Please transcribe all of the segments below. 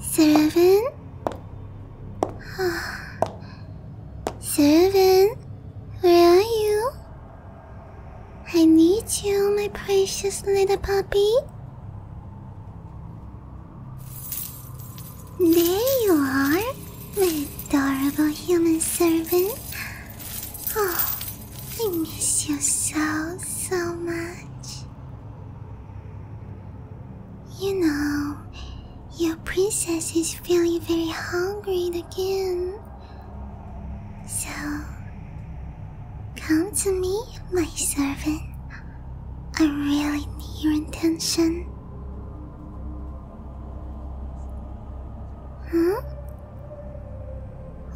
Seven. Seven, where are you? I need you, my precious little puppy. There you are, my adorable human servant. Oh, I miss you so, so much. You know, your princess is feeling very hungry again. So, come to me, my servant. I really need your attention. Huh?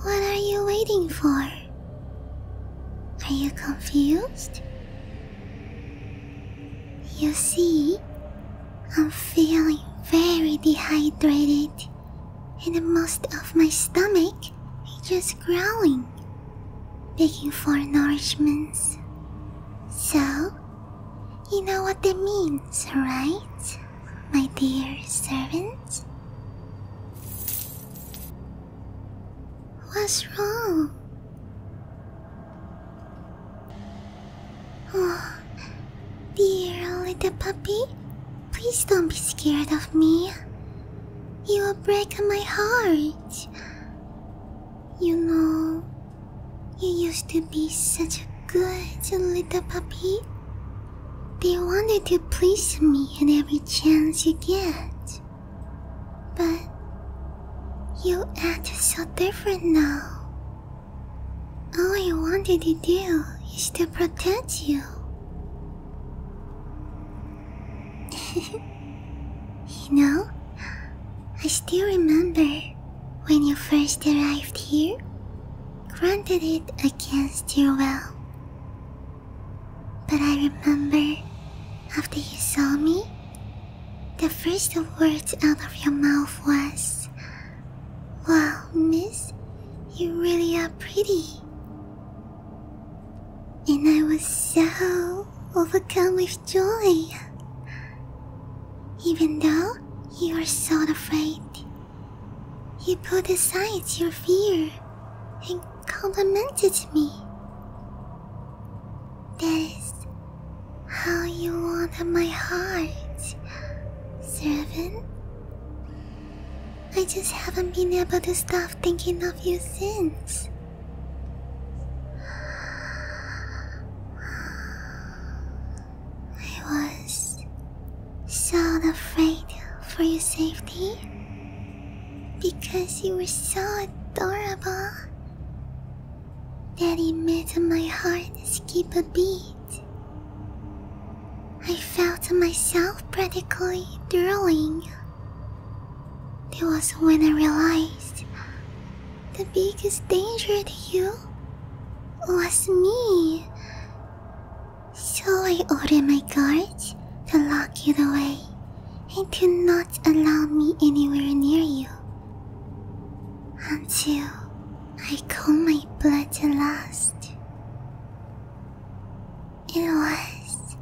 What are you waiting for? Are you confused? You see, I'm feeling very dehydrated, and most of my stomach is just growing begging for nourishments. So, you know what that means, right, my dear servant? What's wrong? Oh, dear little puppy, please don't be scared of me. You will break my heart. You know, you used to be such a good little puppy. You wanted to please me at every chance you get. But you act so different now. All I wanted to do is to protect you. you know, I still remember when you first arrived here, granted it against your will. But I remember after you saw me, the first words out of your mouth was, Wow, miss, you really are pretty. And I was so overcome with joy. Even though you were so afraid, you put aside your fear and complimented me. That is how you wanted my heart, servant. I just haven't been able to stop thinking of you since. I was so afraid for your safety because you were so adorable that it made my heart skip a beat. I felt myself practically drooling it was when I realized the biggest danger to you was me. So I ordered my guards to lock you away and to not allow me anywhere near you until I call my blood to last. It was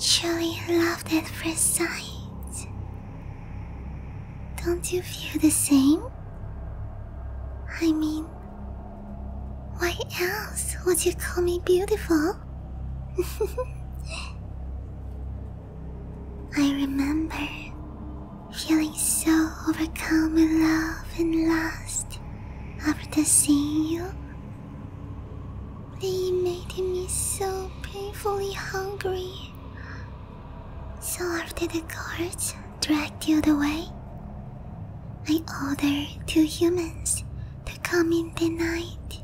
truly love at first sight. Don't you feel the same? I mean, why else would you call me beautiful? I remember feeling so overcome with love and lust after seeing you they made me so painfully hungry. So after the guards dragged you away, I ordered two humans to come in the night.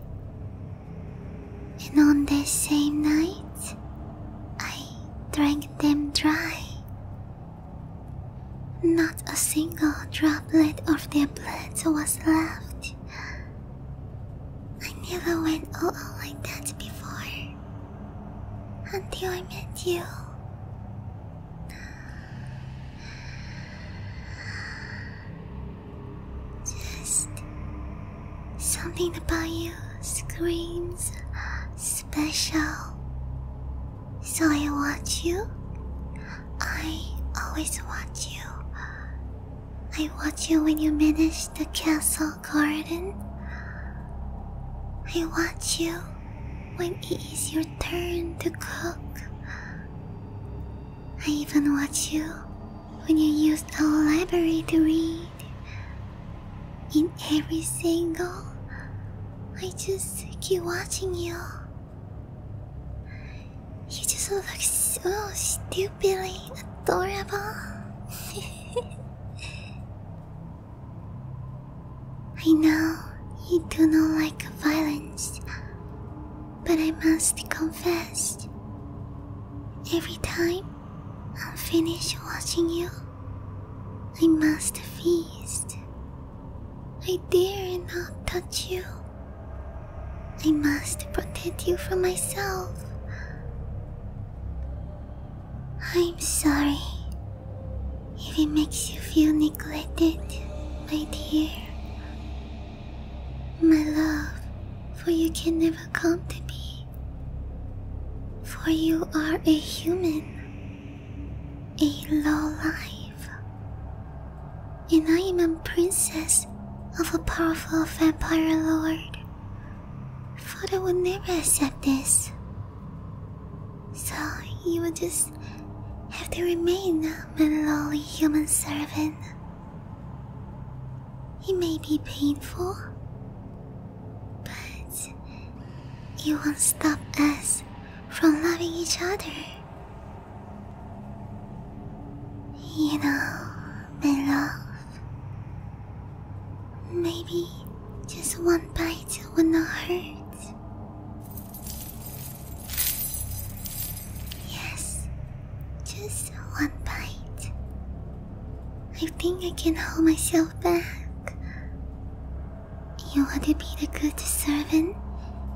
And on that same night, I drank them dry not a single droplet of their blood was left. I never went all out like that before. Until I met you. Just something about you screams special. So I watch you? I always watch you. I watch you when you manage the castle garden. I watch you when it is your turn to cook. I even watch you when you use the library to read. In every single I just keep watching you. You just look so stupidly adorable. I know you do not like violence, but I must confess, every time i finish watching you, I must feast. I dare not touch you. I must protect you from myself. I'm sorry if it makes you feel neglected, my dear. My love, for you can never come to me, for you are a human a low life, and I am a princess of a powerful vampire lord. Father would never accept this. So you will just have to remain my lowly human servant. It may be painful, but it won't stop us from loving each other. You know, my love. Maybe just one bite will not hurt. Yes, just one bite. I think I can hold myself back. You want to be the good servant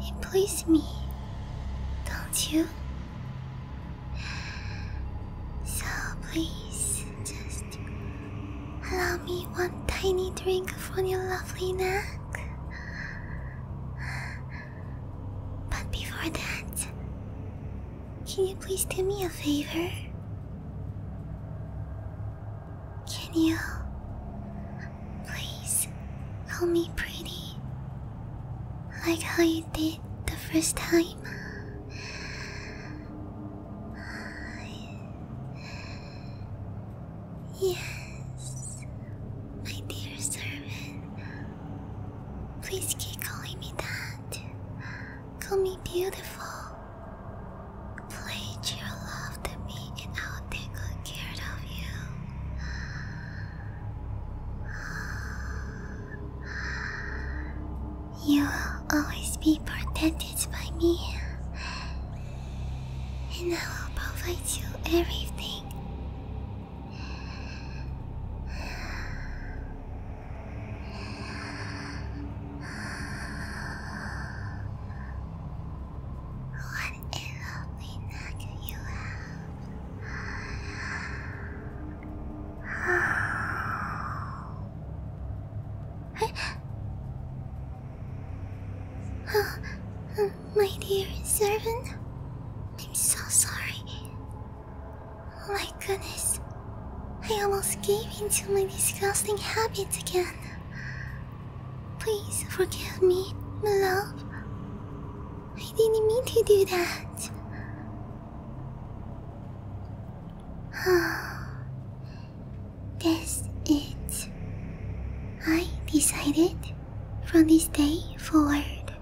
and please me, don't you? So please, just allow me one tiny drink from your lovely neck. But before that, can you please do me a favor? Can you please call me pretty? Like how you did the first time? Yes, my dear servant. Please keep calling me that. Call me beautiful. Pledge your love to me and I'll take good care of you. You will always be protected by me. And I will provide you everything. What a you have. my dear servant, I'm so sorry. Oh my goodness, I almost gave in to my disgusting habits again. Please forgive me, my love. I didn't mean to do that. That's it. I decided from this day forward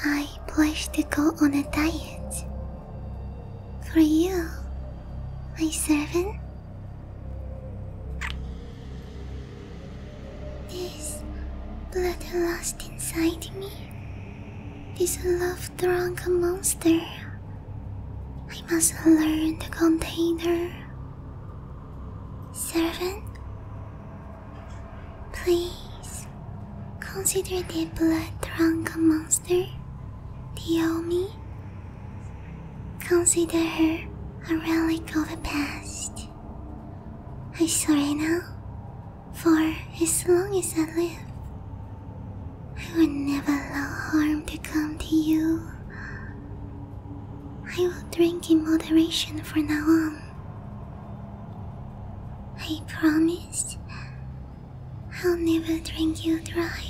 I pushed to go on a diet. For you, my servant. This blood lost inside me. This love drunk monster. I must learn to contain her. Servant, Please consider the blood drunk monster, Naomi. Consider her a relic of the past. I swear now, for as long as I live, I will never allow harm to come to you. I will drink in moderation from now on. I promise I'll never drink you dry.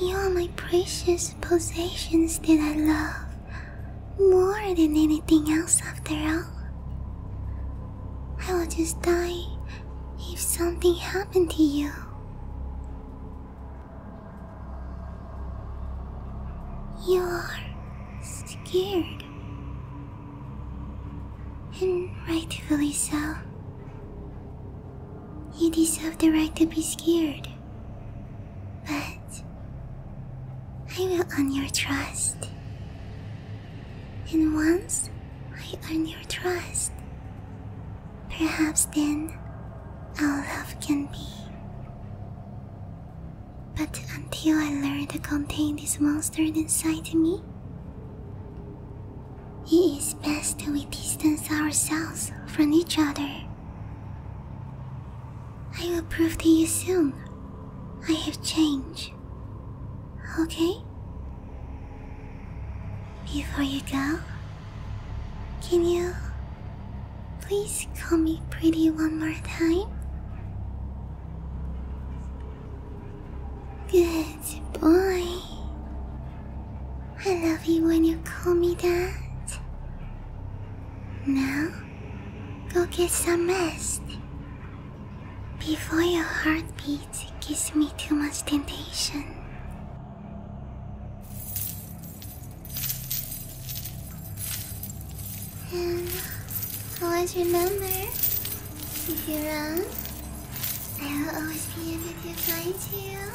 You're my precious possessions that I love more than anything else, after all. I will just die if something happened to you. You scared. And rightfully so. You deserve the right to be scared. But I will earn your trust. And once I earn your trust, perhaps then our love can be but until I learn to contain this monster inside me, it is best we distance ourselves from each other. I will prove to you soon. I have changed. Okay? Before you go, can you Please call me pretty one more time. Good boy. I love you when you call me that. Now, go get some rest. Before your heartbeat gives me too much temptation. And always remember, if you're wrong, I will always be in with your flying tail.